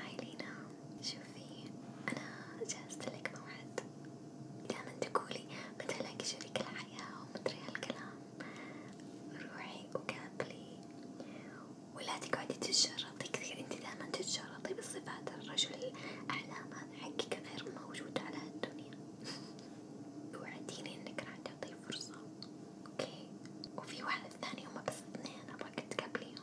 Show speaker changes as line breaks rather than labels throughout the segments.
هاي لينا شوفي أنا جهزت لك موعد دايما تقولي متى ألاقي شريك الحياة ومدري هالكلام روحي وقابلي ولا تقعدي تتشرطي كثير انتي دايما تتشرطي بصفات الرجل الأحلام هذا حقك غير موجود على هالدنيا وعديني انك راح تعطيه فرصة اوكي وفي واحدة ثانية هما بس اثنين ابغاك تقابليهم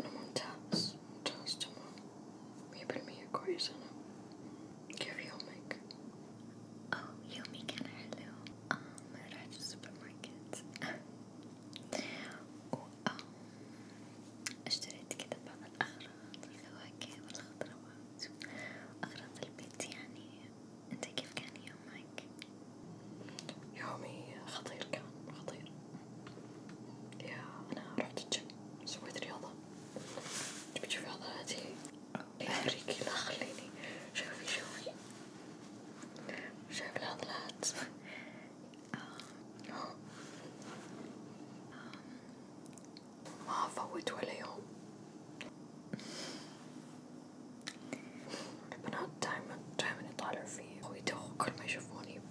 أنا ممتاز ممتاز تمام مية بالمية كويس أنا كيف يومك؟ أوه يومي كان حلو أم رحت السوبر ماركت و اشتريت كذا بعض الأغراض الفواكه والخضروات وأغراض البيت يعني أنت كيف كان يومك؟ يومي خطير كان خطير يا أنا رحت الجيم سويت رياضة تبي تشوفي عضلاتي؟ يوريكي لا خليني شوفي شوفي شايف العضلات ما أفوت ولا يوم البنات دايما دايما يطالعوا فيا ويدوخوا كل ما يشوفوني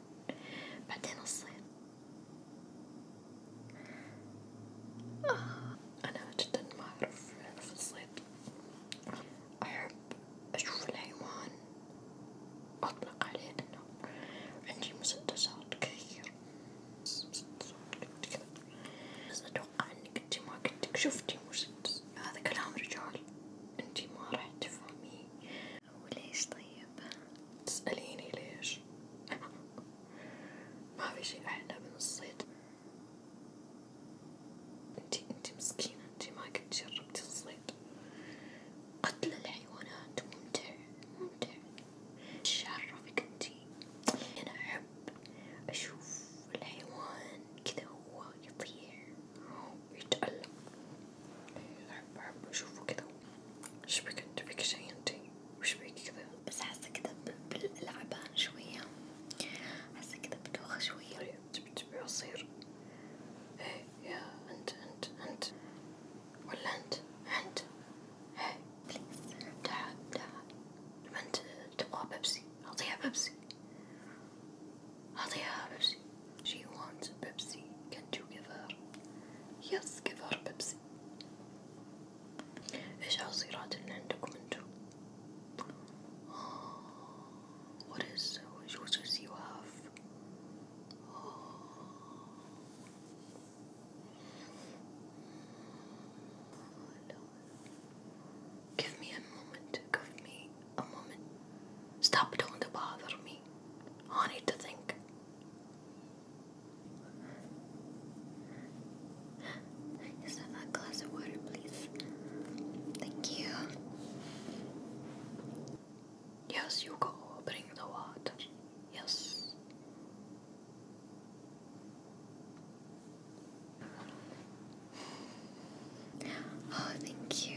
طبعا بعدين الصين آه، أنا جدا ما أعرف في الصيد أحب أشوف الحيوان أطلق عليه أنه عندي مسدسات كثير مسدسات قد كذا بس أتوقع أنك أنتي ما قدك شفتي مسدس هذا كلام رجال أنتي ما راح تفهميه وليش طيب؟ تسأليني ليش؟ ما في شي أحلى من الصيد انتي انتي مسكينة انتي ما قد جربتي الصيد قتل الحيوانات ممتع ممتع ايش عرفك انتي؟ أنا أحب أشوف الحيوان كذا هو يطير ويتألم أحب أحب أشوفه كده وش بك انت بك شي انتي وش بك كده بس حاسة كده باللعبان شوية حاسة كده بدوخة شوية طيب، تبي تبي عصير ايه يا انت انت انت ولا انت انت ايه بليز ابدعها ابدعها لما انت تبغى بيبسي اعطيها بيبسي اعطيها بيبسي She wants a Pepsi. Can't you give her? Yes, give her Pepsi. ايش عصيرات اللي عندكم انتو؟ What is the juices you have? Give me a moment. Give me a moment. Stop! Don't bother me. I need to think. Just have a glass of water, please. Thank you. Yes, you go. Bring the water. Yes. Oh, thank you.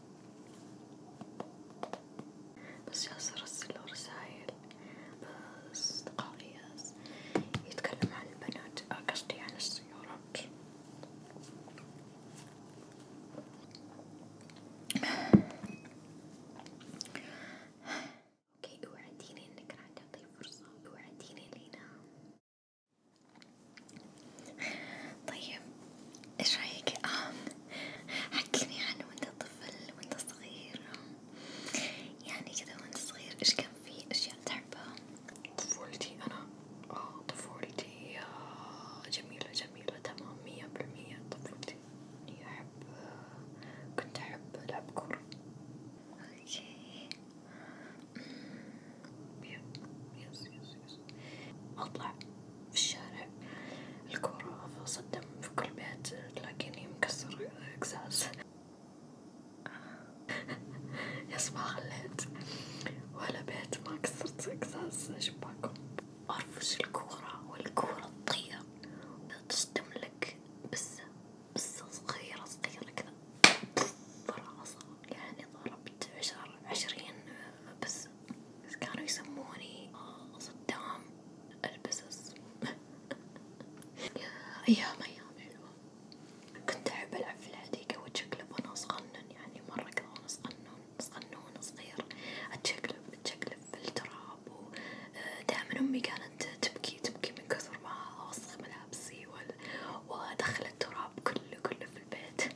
بس ياسر أرسله رسايل أصدقاء إياس يتكلم عن البنات آه، قصدي عن السيارات اوكي وعديني انك راح تعطي فرصة وعديني لينا طيب ايش رايك حكيني عنه وانت طفل وانت صغير يعني كذا وانت صغير ايش كان في اشياء تحبها طفولتي انا اه طفولتي آه، جميلة جميلة تمام مية بالمية طفولتي اني احب كنت احب العب كورة اوكي يس يس يس أطلع في الشارع الكورة صدم في كل بيت تلاقيني مكسر قزاز يس ما خليت ولا بيت ما كسرت قزاز شباكهم أرفش الكورة والكورة تطير تصدم لك بسة بسة صغيرة صغيرة كذا فرا يعني ضربت عشر عشرين بس كانوا يسموني صدام البسس أيام أيام حلوة كنت أحب ألعب في الحديقة وأتشقلب وأنا صغنن يعني مرة كذا وأنا صغنن صغنون صغير أتشقلب أتشقلب في التراب ودائما آه، أمي كانت تبكي تبكي من كثر ما أوسخ ملابسي وأدخل التراب كله كله في البيت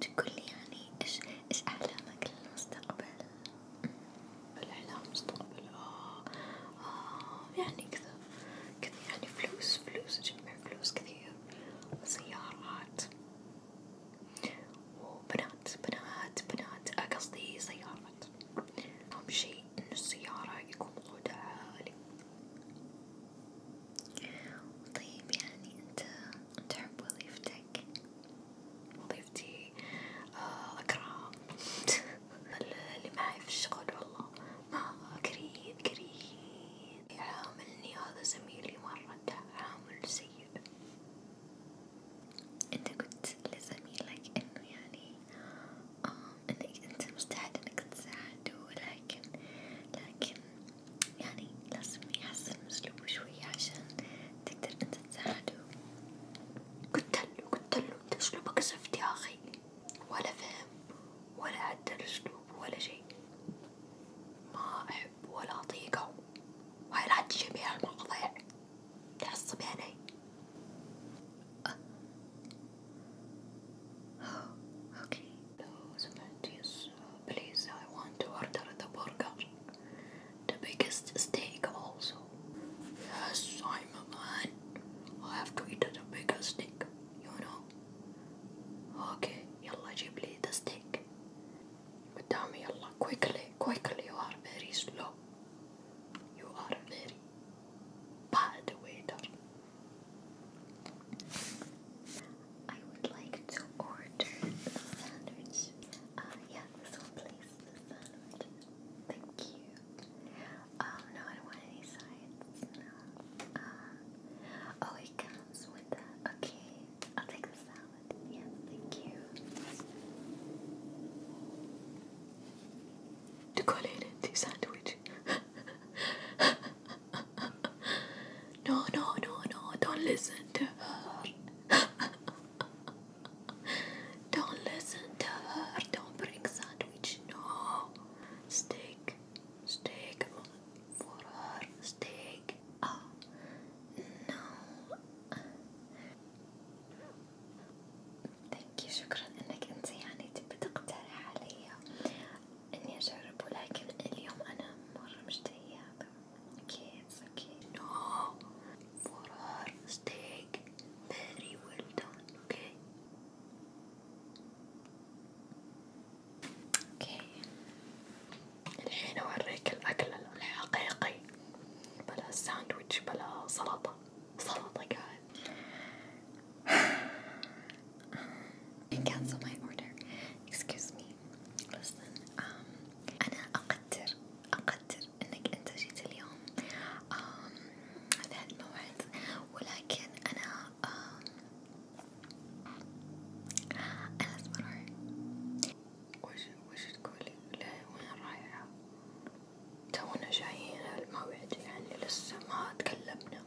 تقولي يعني إيش إيش أحلامك للمستقبل؟ الأحلام مستقبل آه آه يعني كذا كذا يعني فلوس فلوس أجمع فلوس كثير وسيارات وبنات بنات بنات آه، قصدي سيارات أهم شي إن السيارة يكون وضعها عالي طيب يعني أنت تحب وظيفتك؟ وظيفتي آه أكره اللي معي في الشغل والله ما آه، كريه كريه يعاملني هذا زميلي مرة تعامل سيء انت قلت لزميلك انه يعني آه انك انت مستعد انك تساعده لكن لكن يعني لازم يحسن أسلوبه شوية عشان تقدر أنت تساعده قلتله قلتله أنت أسلوبك زفت يا أخي ولا فهم ولا عدل أسلوب ولا شي ما أحب ولا أطيقه وهي لا تجي بها المواضيع تعصبي علي أه. أوكي لو سمعت يس Please, I want to order the burger. The biggest steak also. Yes, I'm a man. I have to eat the biggest steak, you know. Okay, يلا جيب لي the steak. قدامي يلا quickly, quickly. You are very slow. You are very bad waiter. I would like to order the sandwich. Uh, yeah, this please, the sandwich. Thank you. Um, no, I don't want any sides. No. Um, oh, it comes with the, okay, I'll take the salad. Yeah, thank you. Du kollar till sandwich. no, no, no, no, don't listen to Don't listen to her. Don't bring sandwich. No. Steak. Steak for her. Steak. Oh. No. Thank you. شكرا انك انت يعني تبي تقترح علي اني اجرب ولكن اليوم انا مرة مشتهية Okay, it's okay. No! For our steak. Very well done, okay? اوكي الحين اوريك الاكل الحقيقي بلا ساندويتش بلا سلطة سلطة guys and cancel my order excuse me listen um أنا أقدر أقدر إنك أنت جيت اليوم في هالموعد ولكن أنا أنا لازم أروح وش وش تقولي؟ وين رايحة؟ تونا جايين الموعد يعني لسه ما تكلمنا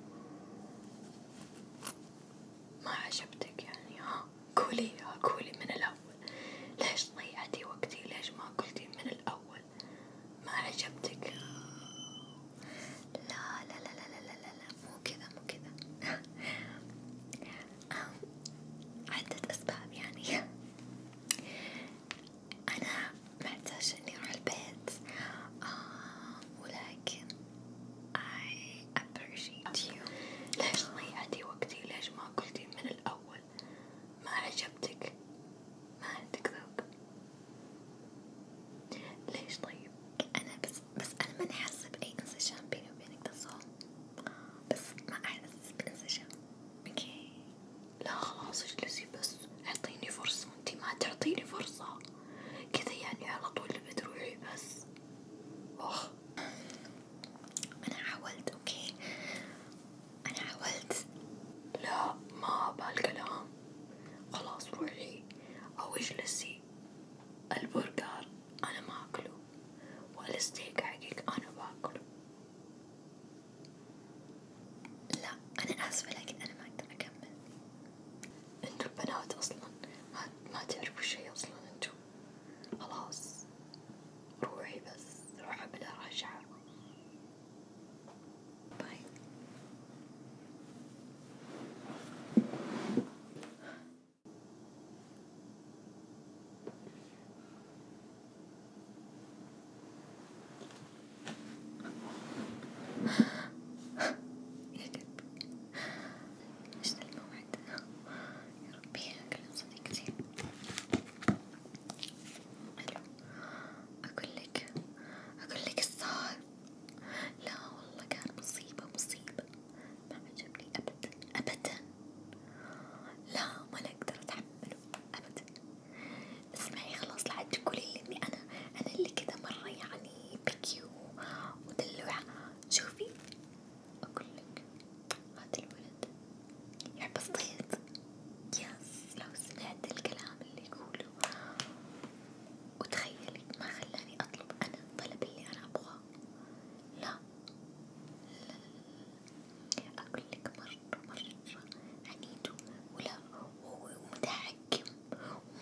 ما عجبتك يعني ها قوليها قولي من الأول ليش ضيعتي وقتي ليش ما قلتي من الأول ما عجبتك لا لا لا لا لا لا, لا مو كذا مو كذا عدة أسباب يعني أنا محتاجة إني أروح البيت آه ولكن I appreciate you ليش ضيعتي وقتي ليش ما قلتي من الأول ما عجبتك ما عندك ذوق ليش طيب أنا بس بس أنا ماني حاسة بأي انسجام بيني وبينك تصوم بس ما أحس بانسجام اوكي لا خلاص اجلسي بس اعطيني فرصة انتي ما تعطيني فرصة كذا يعني على طول بتروحي بس أنا حاولت أوكي أنا حاولت لا ما بهالكلام خلاص روحي أو اجلسي البرجر أنا ما أكله والستيك حقك أنا باكله لا أنا آسفة لكن أنا ما أقدر أكمل انتو البنات أصلا ما ما تعرفوا شي أصلا انتو خلاص روحي بس روح أبدأ راجعة باي يا قلبي إيش الموعد ربي أكلة صديقتي حلو أقول لك أقول لك الصار لا والله كان مصيبة مصيبة ما عجبني أبدا أبدا لا ما أقدر أتحمله أبدا اسمعي خلاص لا تقولي لي إني أنا أنا اللي كذا مرة يعني بكي ودلوعة شوفي أقول لك هذا الولد يحب الصيد يس لو سمعت الكلام اللي يقوله وتخيلي ما خلاني أطلب أنا الطلب اللي أنا أبغاه لا لا لا أقول لك مرة مرة عنيد ولا هو متحكم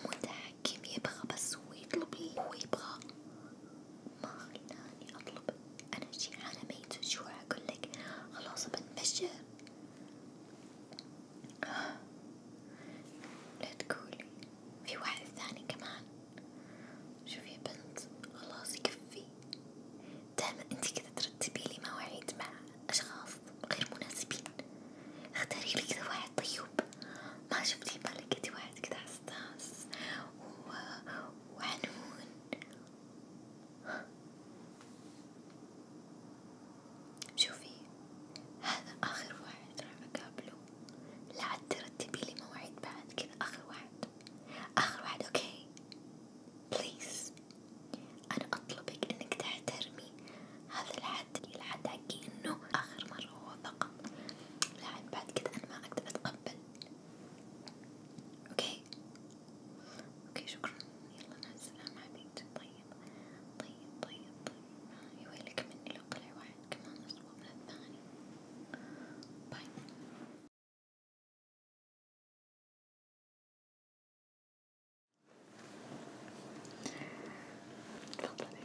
متحكم يبغى بس هو يطلب اللي هو يبغاه ما خلاني أطلب أنا جيعانة ميت الجوع أقولك خلاص بنمشى لا تقولي في واحد ثاني كمان شوفي يا بنت خلاص يكفي دايما انتي كذا ترتبي لي مواعيد مع أشخاص غير مناسبين اختاري لي كذا واحد طيب ما شفتي بالك كذا واحد كذا حساس وحنون شوفي هذا آخر واحد راح أقابله لا عاد ترتبي لي موعد بعد كذا آخر واحد آخر واحد أوكي بليز أنا أطلبك إنك تحترمي هذا الحد الحد حقي إنه آخر مرة هو فقط لا عاد بعد كذا أنا ما أقدر أتقبل اوكي اوكي شكرا يلا مع السلامة حبيبتي طيب طيب طيب طيب يويلك مني لو طلع واحد كمان اسوء من الثاني باي تفضلي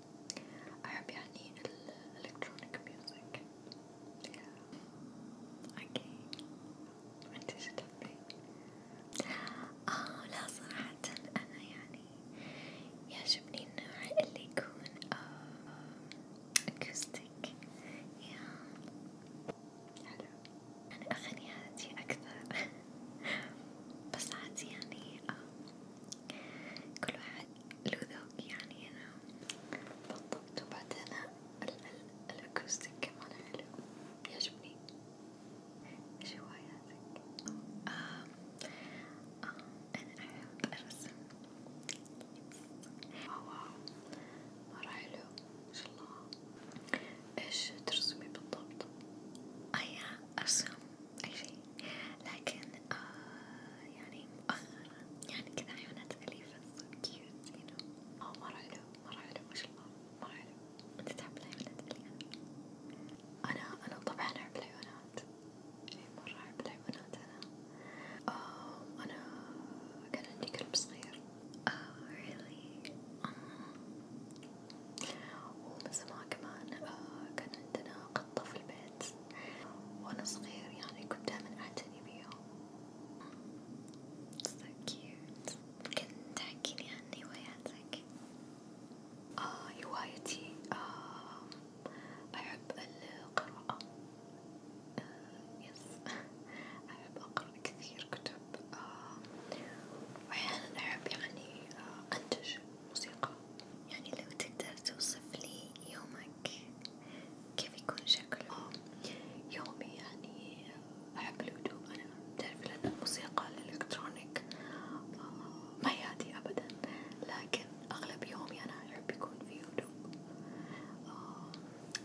أحب يعني الإلكترونيك ميوزك أوكي وأنت شو تحبي؟ آه لا صراحة أنا يعني يعجبني النوع اللي يكون أكوستيك آه، يا حلو يعني أغاني هادية أكثر بس عادي يعني آه، كل واحد له ذوق يعني أنا بطلت وبعدين الأكوستيك كمان حلو يعجبني إيش هواياتك؟ آه آه أنا أحب الرسم واو مرة حلو ما شاء الله إيش ترسمي بالضبط؟ أيا آه، أرسم أي شيء لكن آه يعني مؤخرا يعني كذا عيونات أليفة so cute you know أوه مرة حلو مرة حلو ما شاء الله مرة حلو أنت تحب العيونات أليفة أنا أنا طبعا أحب العيونات إي مرة أحب العيونات أنا آه أنا كان عندي كلب صغير آه really آه ومن زمان كمان آه كان عندنا قطة في البيت وأنا صغير يعني كنت دايما أعتني بيهم so cute ممكن تحكيلي عن هواياتك؟ آه هوايتي آه أحب القراءة آه يس أحب أقرأ كثير كتب آه وأحيانا أحب يعني آه أنتج موسيقى يعني لو تقدر توصف لي يومك كيف يكون شكله؟ يومي يعني أحب الهدوء أنا بتعرف لأن الموسيقى الإلكترونيك آه، ما يهدي أبدا لكن أغلب يومي أنا أحب يكون فيه هدوء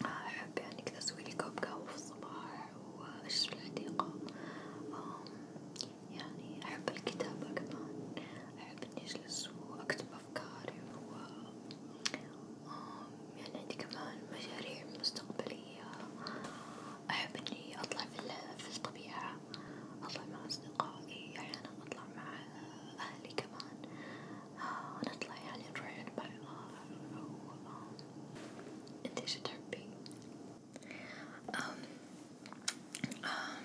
آه، أحب يعني كذا أسويلي كوب قهوة في الصباح وأشرب الحديقة آه، يعني أحب الكتابة كمان أحب إني أجلس وأكتب أفكاري و يعني عندي كمان مشاريع مستقبلية أحب إني أطلع في, في الطبيعة أطلع مع أصدقائي أحيانا أطلع مع أهلي كمان آه، نطلع يعني نروح عند بعض أو أنت إيش تحبي؟ أم أم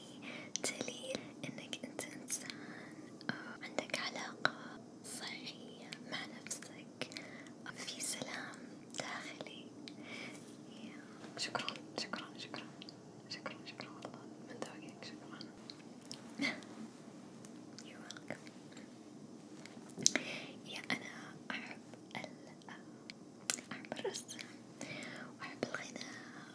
يعني دليل انك انت انسان آه، عندك علاقة صحية مع نفسك آه، في سلام داخلي شكرا شكرا شكرا شكرا شكرا والله من ذوقك شكرا You're welcome يا أنا أحب ال آه، أحب الرسم وأحب الغناء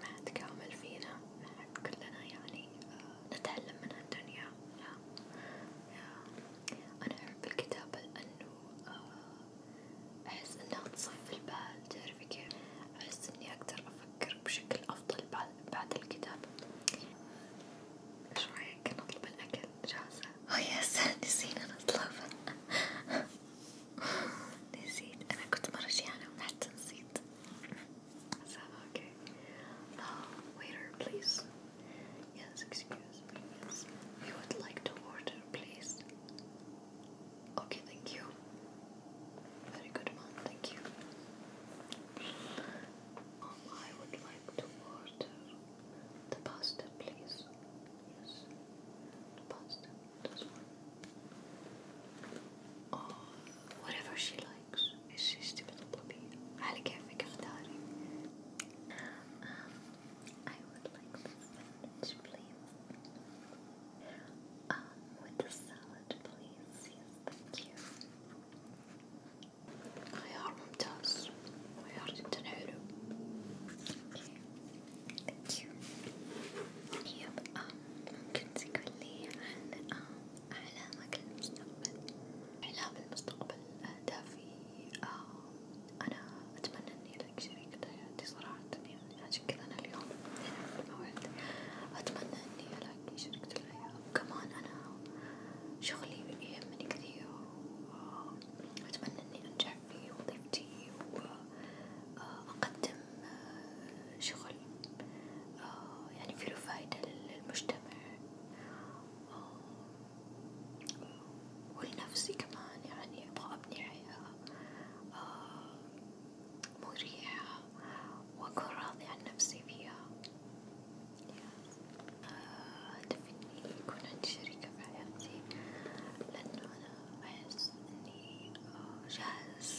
ما حد كامل فينا ما حد كلنا يعني آه، نتعلم من هالدنيا لا أنا أحب الكتابة لأنه آه، أحس إنها تصفي البال تعرفي كيف أحس إني أقدر أفكر بشكل أفضل بعد بعد الكتابة إيش رأيك نطلب الأكل جاهزة؟ أوه oh, يس نسينا نطلبه نسيت أنا كنت مرة جيانة وما حتى نسيت okay. Uh, waiter, please. Yes, excuse Yes. We would like to order, please. Okay, thank you. Very good, ma'am. Thank you. Um, I would like to order the pasta, please. Yes, the pasta. This one. Uh, whatever she likes. She's stupid little bee. على كيفك اختاري. Um, I would like the sandwich, please. Um, with the salad, please. Yes, thank you. خيار ممتاز. خيار جدا حلو. Okay. Thank you. Yep. Um, ممكن تقولي um. أحلامك للمستقبل، أحلام المستقبل أهدافي آه،, آه أنا أتمنى إني لك شريكة حياتي صراحة يعني عشان كذا أنا اليوم هنا في الموعد أتمنى إني ألاقي شريكة الحياة وكمان أنا شغلي يهمني كثير وأتمنى آه، إني أنجح في وظيفتي وأقدم آه، شغل آه، يعني, آه، يعني أبني حياة مريحة وأكون راضية عن نفسي فيها آه، هدفي إني يكون شريكة في حياتي لأنه أنا أحس إني جاهز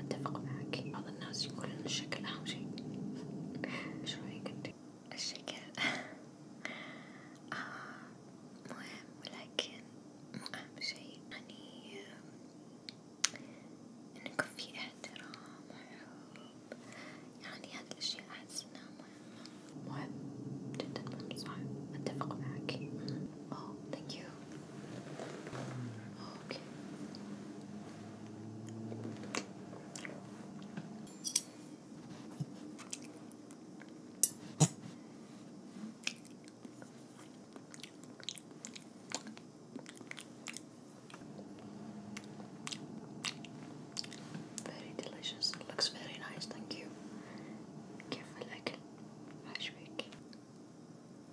أتفق معك بعض الناس يقولون إن الشكل أهم شيء إيش رأيك أنت؟ الشكل آه مهم ولكن مو أهم شيء يعني إنه يكون في احترام وحب يعني هذه الأشياء أحس إنها مهمة مهم جدا مهم صح أتفق معك أوه ثانك يو okay. Very delicious. Looks very nice. Thank you. كيف الأكل؟ عاجبك؟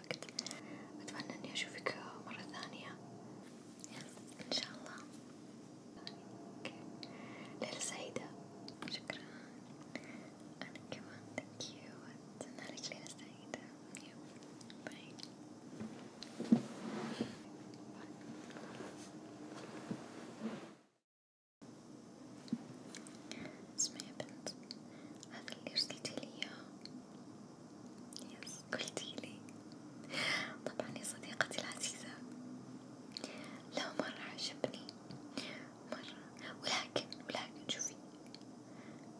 الوقت أتمنى إني أشوفك مرة ثانية إن شاء الله ليلة سعيدة شكرا أنا كمان thank you أتمنى لك ليلة سعيدة باي اسمعي يا بنت هذا اللي ارسلتي لي اياه يس قلتيلي طبعا يا صديقتي العزيزة لو مرة عجبني مرة ولكن ولكن شوفي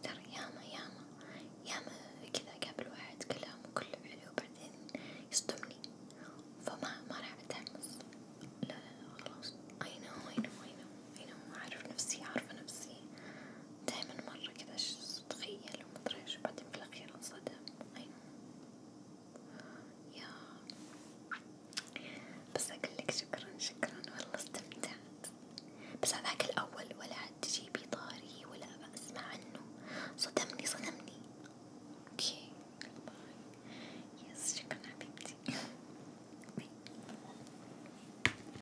ترى ياما ياما ياما كذا قبل واحد كلام وكله حلو وبعدين يصدمني فما ما راح أتحمس لا لا لا خلاص أي نو أي نو أي نو أي نو أعرف نفسي أعرف نفسي دايما مرة كذا تخيل حلو مطريش بعدين في الأخير انصدم أيوة يا بس أقولك شكرا شكرا والله استمتعت بس هذاك الأول ولا عاد تجيبي طاري ولا أسمع عنه صدمني صدمني اوكي باي يس شكرا حبيبتي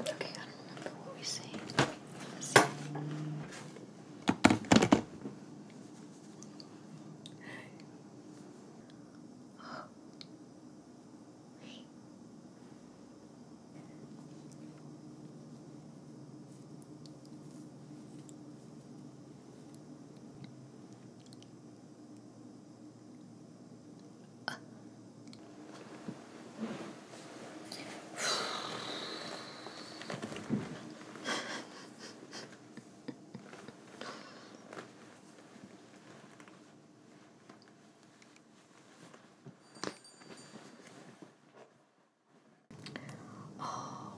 Okay, I don't remember what we see. let see. Oh. Wait. Uh, آه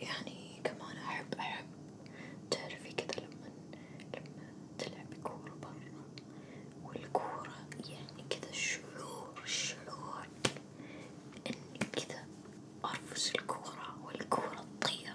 يعني كمان أحب أحب تعرفي كذا لما لما تلعبي كورة برا والكورة يعني كذا شعور شعور إني كذا أرفس الكورة والكورة تطير.